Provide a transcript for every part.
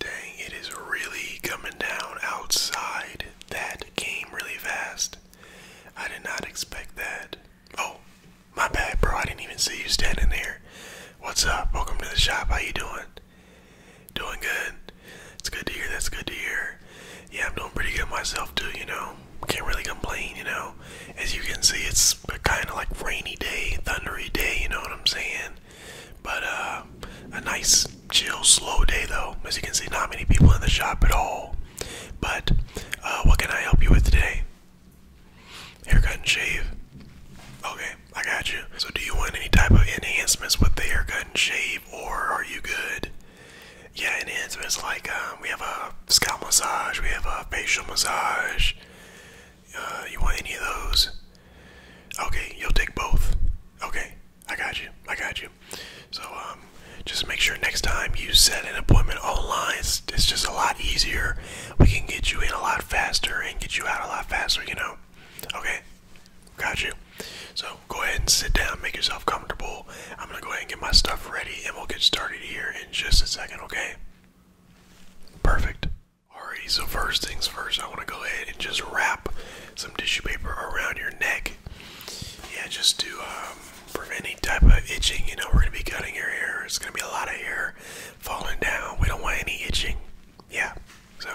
Dang, it is really coming down outside that came really fast. I did not expect that. Oh, my bad, bro. I didn't even see you standing there. What's up? Welcome to the shop. How you doing? Doing good. It's good to hear. That's good to hear. Yeah, I'm doing pretty good myself too, you know. Can't really complain, you know. As you can see, it's a kind of like rainy day, thundery day, you know what I'm saying? But uh, a nice, chill, slow day though. As you can see, not many people in the shop at all. But uh, what can I help you with today? Haircut and shave. Okay, I got you. So, do you want any type of enhancements with the haircut and shave, or are you good? Yeah, enhancements like um, we have a scalp massage, we have a facial massage. Uh, you want any of those? Okay, you'll take both. Okay, I got you. I got you. So, um, just make sure next time you set an appointment online. it's just a lot easier. We can get you in a lot faster and get you out a lot faster, you know? Okay, got you. So, go ahead and sit down, make yourself comfortable. I'm gonna go ahead and get my stuff ready, and we'll get started here in just a second, okay? Perfect. All right. so first things first, I want to go ahead and just wrap some tissue paper around your neck. Yeah, just to um, prevent any type of itching. You know, we're going to be cutting your hair. It's going to be a lot of hair falling down. We don't want any itching. Yeah, so.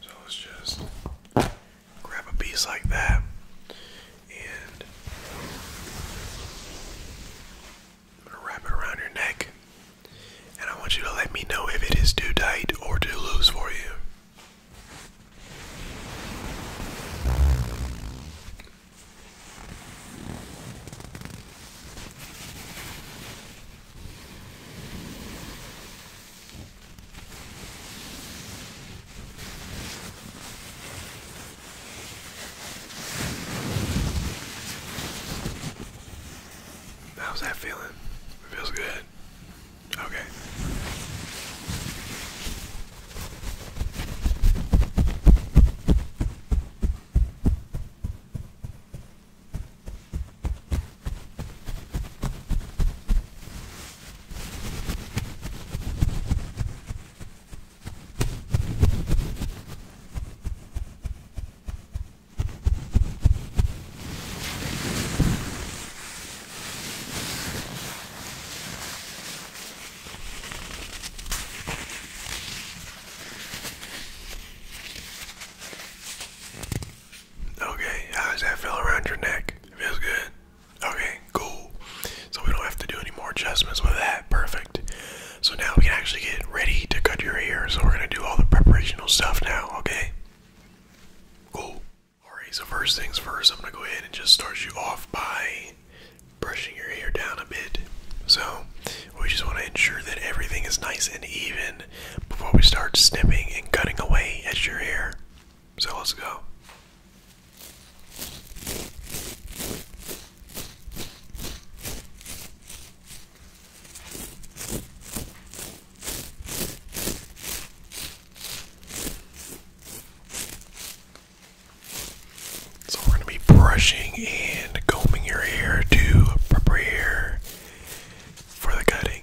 So let's just grab a piece like that and I'm gonna wrap it around your neck, and I want you to let me know if it is too tight or too loose for you. How's that feeling? It feels good. Okay. Okay, how does that feel around your neck? feels good. Okay, cool. So we don't have to do any more adjustments with that. Perfect. So now we can actually get ready to cut your hair. So we're gonna do all the preparational stuff now, okay? Cool. Alright, so first things first, I'm gonna go ahead and just start you off by brushing your hair down a bit. So we just wanna ensure that everything is nice and even before we start snipping and cutting away at your hair. So let's go. So, we're going to be brushing and combing your hair to prepare for the cutting.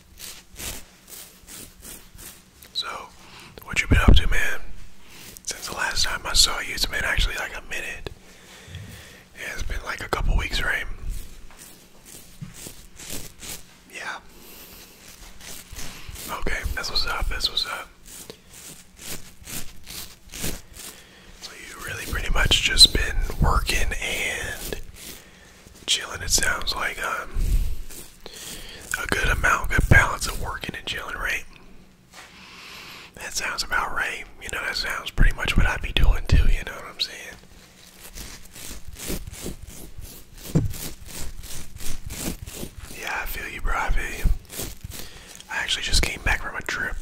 So, what you been up to, man? Since the last time I saw you, it's actually like a minute. Yeah, it's been like a couple weeks, right? Yeah. Okay, that's what's up, that's what's up. So you really pretty much just been working and chilling. It sounds like um, a good amount, good balance of working and chilling, right? That sounds about right. You know, that sounds pretty much what I'd be doing too. You know what I'm saying? Yeah, I feel you, bro. I feel you. I actually just came back from a trip.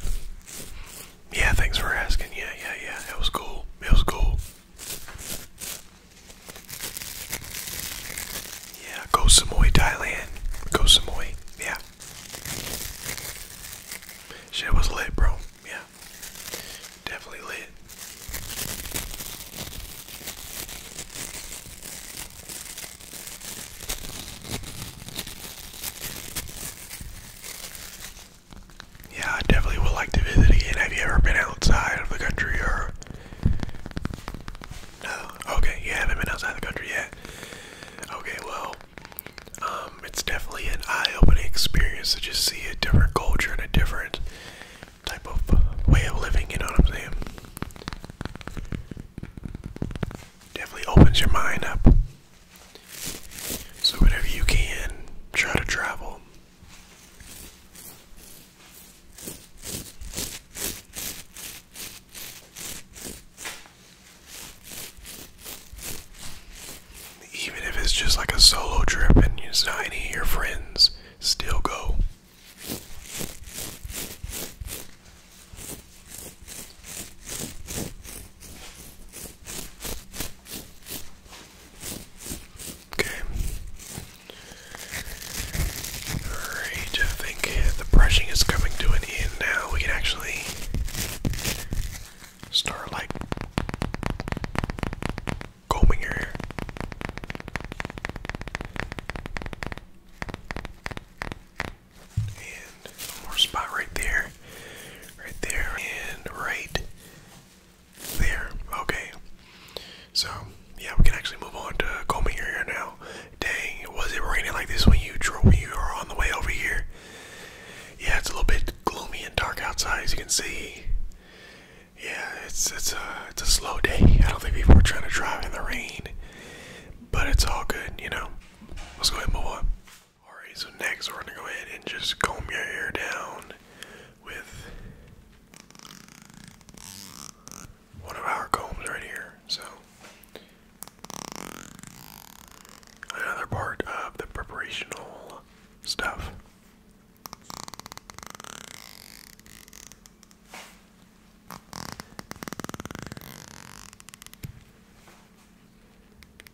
Yeah, thanks for asking. Yeah, yeah, yeah. It was cool. It was cool. Yeah, go Samoy, Thailand. Go Samoy. Yeah. Shit was lit, bro. Yeah. Definitely lit yeah, I definitely would like to visit again. Have you ever been outside of the country or? No. Okay, you haven't been outside the country yet. Okay, well, um, it's definitely an eye-opening experience to just see a different culture and a different type of way of living. You know what I'm saying? Definitely opens your mind up. So whenever you can, try to travel. Even if it's just like a solo trip and it's not any your friends, still go. Okay. Alright, I think the brushing is coming to an end now. We can actually start like combing your hair. And one more spot right there. Right there and right there, okay. So, yeah, we can actually move on to combing your hair now. Dang, was it raining like this when you drove, when you were on the way over here? Yeah, it's a little bit gloomy and dark outside, as you can see. Yeah, it's it's a it's a slow day. I don't think people are trying to drive in the rain, but it's all good, you know. Let's go ahead and move on. All right, so next we're gonna go ahead and just comb your hair down with one of our combs right here. So, another part of the preparational stuff.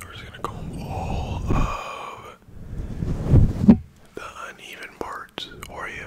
We're just gonna comb all of the uneven parts for you.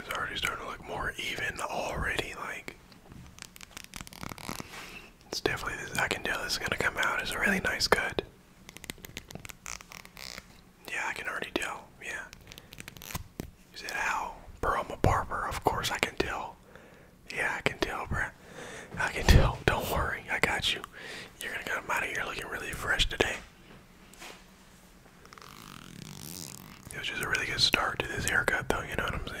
It's already starting to look more even already. Like, it's definitely, I can tell this is going to come out It's a really nice cut. Yeah, I can already tell. Yeah. You said, how? Bro, barber. Of course I can tell. Yeah, I can tell, bruh. I can tell. Don't worry. I got you. You're gonna come out of here looking really fresh today. It was just a really good start to this haircut, though, you know what I'm saying?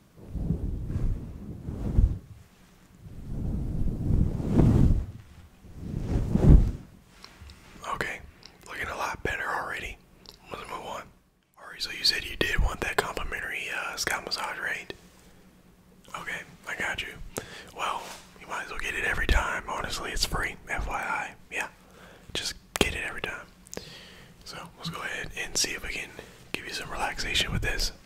Okay, looking a lot better already. Let's move on. Alright, so you said you did want that complimentary uh, scalp massage, right? Okay, I got you. Well, you might as well get it every time. Honestly, it's free. FYI, yeah. Just get it every time. So let's go ahead and see if we can give you some relaxation with this.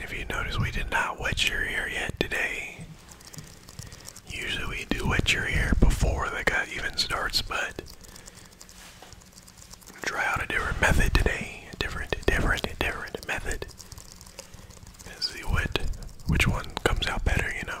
if you notice, we did not wet your hair yet today. Usually we do wet your hair before the gut even starts, but try out a different method today. A different, different, different method. And see what which one comes out better, you know.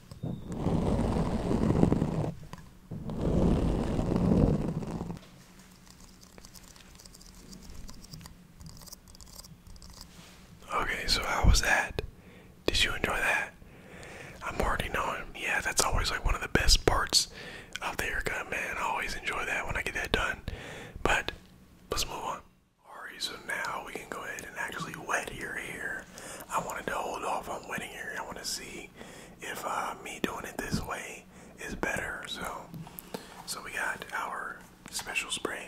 Okay, so how was that? Did you enjoy that? I'm already knowing. Yeah, that's always like one of the best parts of the haircut, man. I always enjoy that when I get that done. But let's move on. Alright, so now we can go ahead and actually wet your hair I wanted to hold off on wedding here. I want to see if uh, me doing it this way is better. So, so we got our special spray.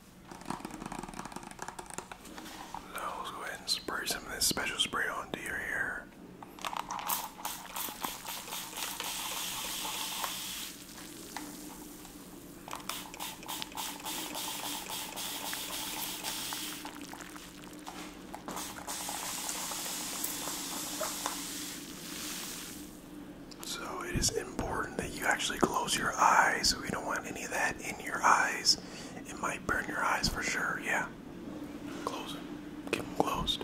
Now let's go ahead and spray some of this special spray onto your hair. So it is important that you actually close your eyes. We don't any of that in your eyes. It might burn your eyes for sure, yeah. Close them. Keep them closed.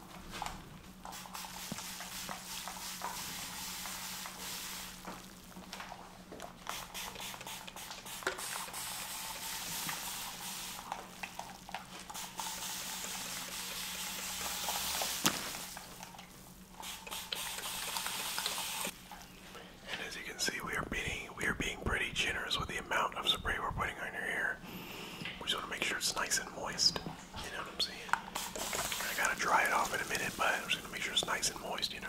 And as you can see, we are being we are being pretty generous with the amount of spray we're putting on your hair. We just want to make sure it's nice and moist. You know what I'm saying? I gotta dry it off in a minute, but I'm just gonna make sure it's nice and moist, you know.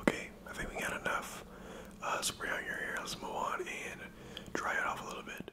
Okay, I think we got enough uh, spray on your hair. Let's move on and dry it off a little bit.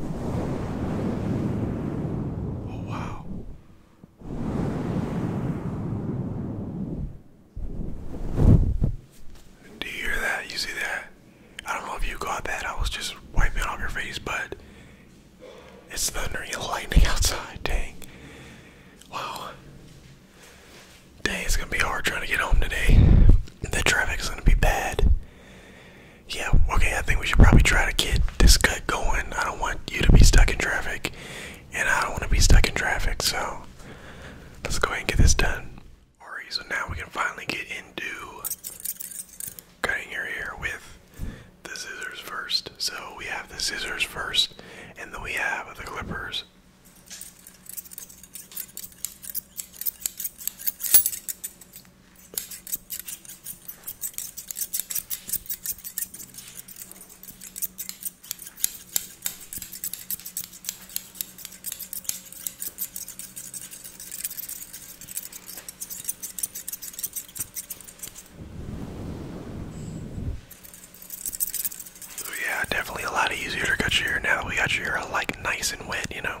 Oh, wow. Do you hear that? You see that? I don't know if you got that. I was just wiping it off your face, but it's thundering and lightning outside. Dang. Wow. Dang, it's gonna be hard trying to get home today. The traffic is gonna be bad yeah, okay, I think we should probably try to get this cut going. I don't want you to be stuck in traffic, and I don't want to be stuck in traffic, so let's go ahead and get this done. Alright, so now we can finally get into cutting your hair with the scissors first. So we have the scissors first, and then we have the clippers. So yeah, definitely a lot easier to cut your hair now that we got your hair like nice and wet, you know.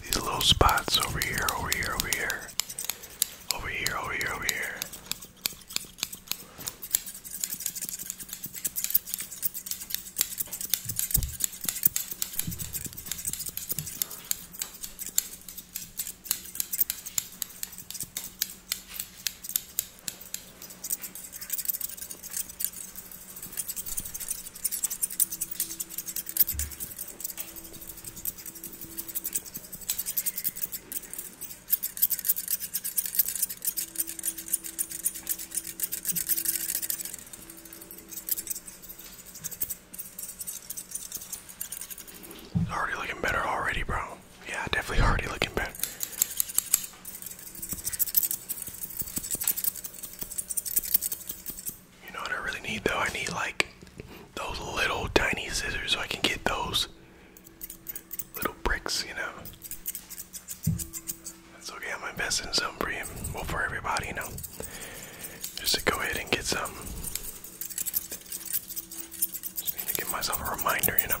These little spots over here, over here, over here, over here, over here, over here. Already looking better already, bro. Yeah, definitely already looking better. You know what I really need though? I need like those little tiny scissors so I can get those little bricks, you know. That's okay, I'm investing some for you. Well for everybody, you know. Just to go ahead and get some. Just need to give myself a reminder, you know.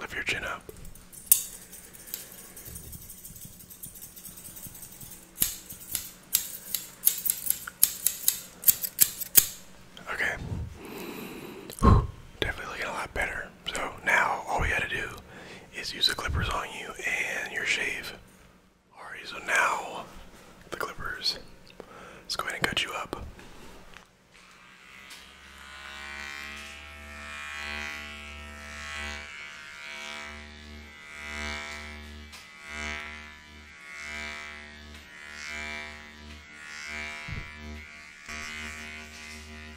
Lift your chin up. Okay. Definitely looking a lot better. So now all we gotta do is use the clippers on you and your shave. Alright, so now the clippers. Let's go ahead and cut you up.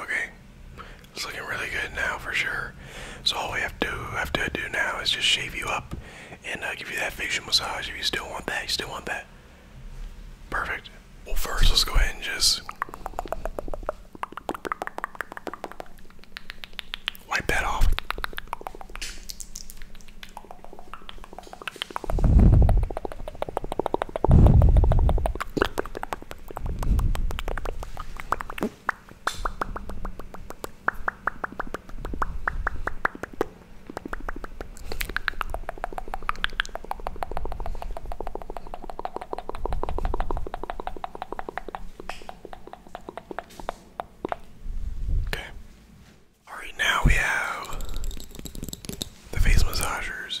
Okay, it's looking really good now for sure. So all we have to have to do now is just shave you up and uh, give you that facial massage if you still want that. You still want that. Perfect. Well, first, let's go ahead and just wipe that off. Okay. Alright, now we have the face massagers.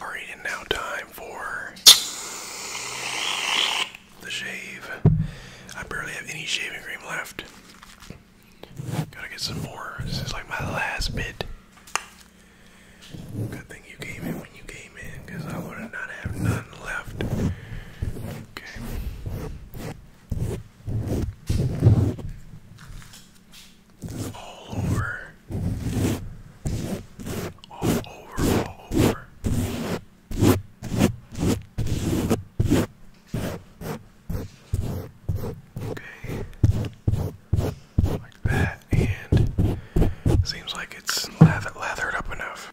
Alright, and now time for the shave. I barely have any shaving cream left. Gotta get some more. This is like my last bit. Good thing you came in when you came in, I would not have none left. Okay. All over. All over, all over. Okay. Like that, and seems like it's lathered up enough.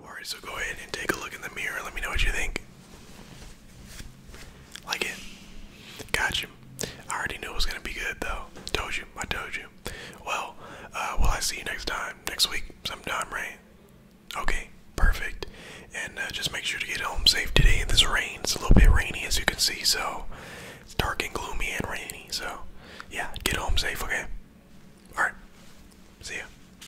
Alright, so go ahead and take a look in the mirror. Let me know what you think. Like it. Got you. I already knew it was gonna be good though. Told you. I told you. Well, uh, will I see you next time? Next week, sometime, right? Okay, perfect. And uh, just make sure to get home safe today. This rain. It's a little bit rainy, as you can see. So it's dark and gloomy and rainy. So yeah, get home safe. Okay. All right. See ya.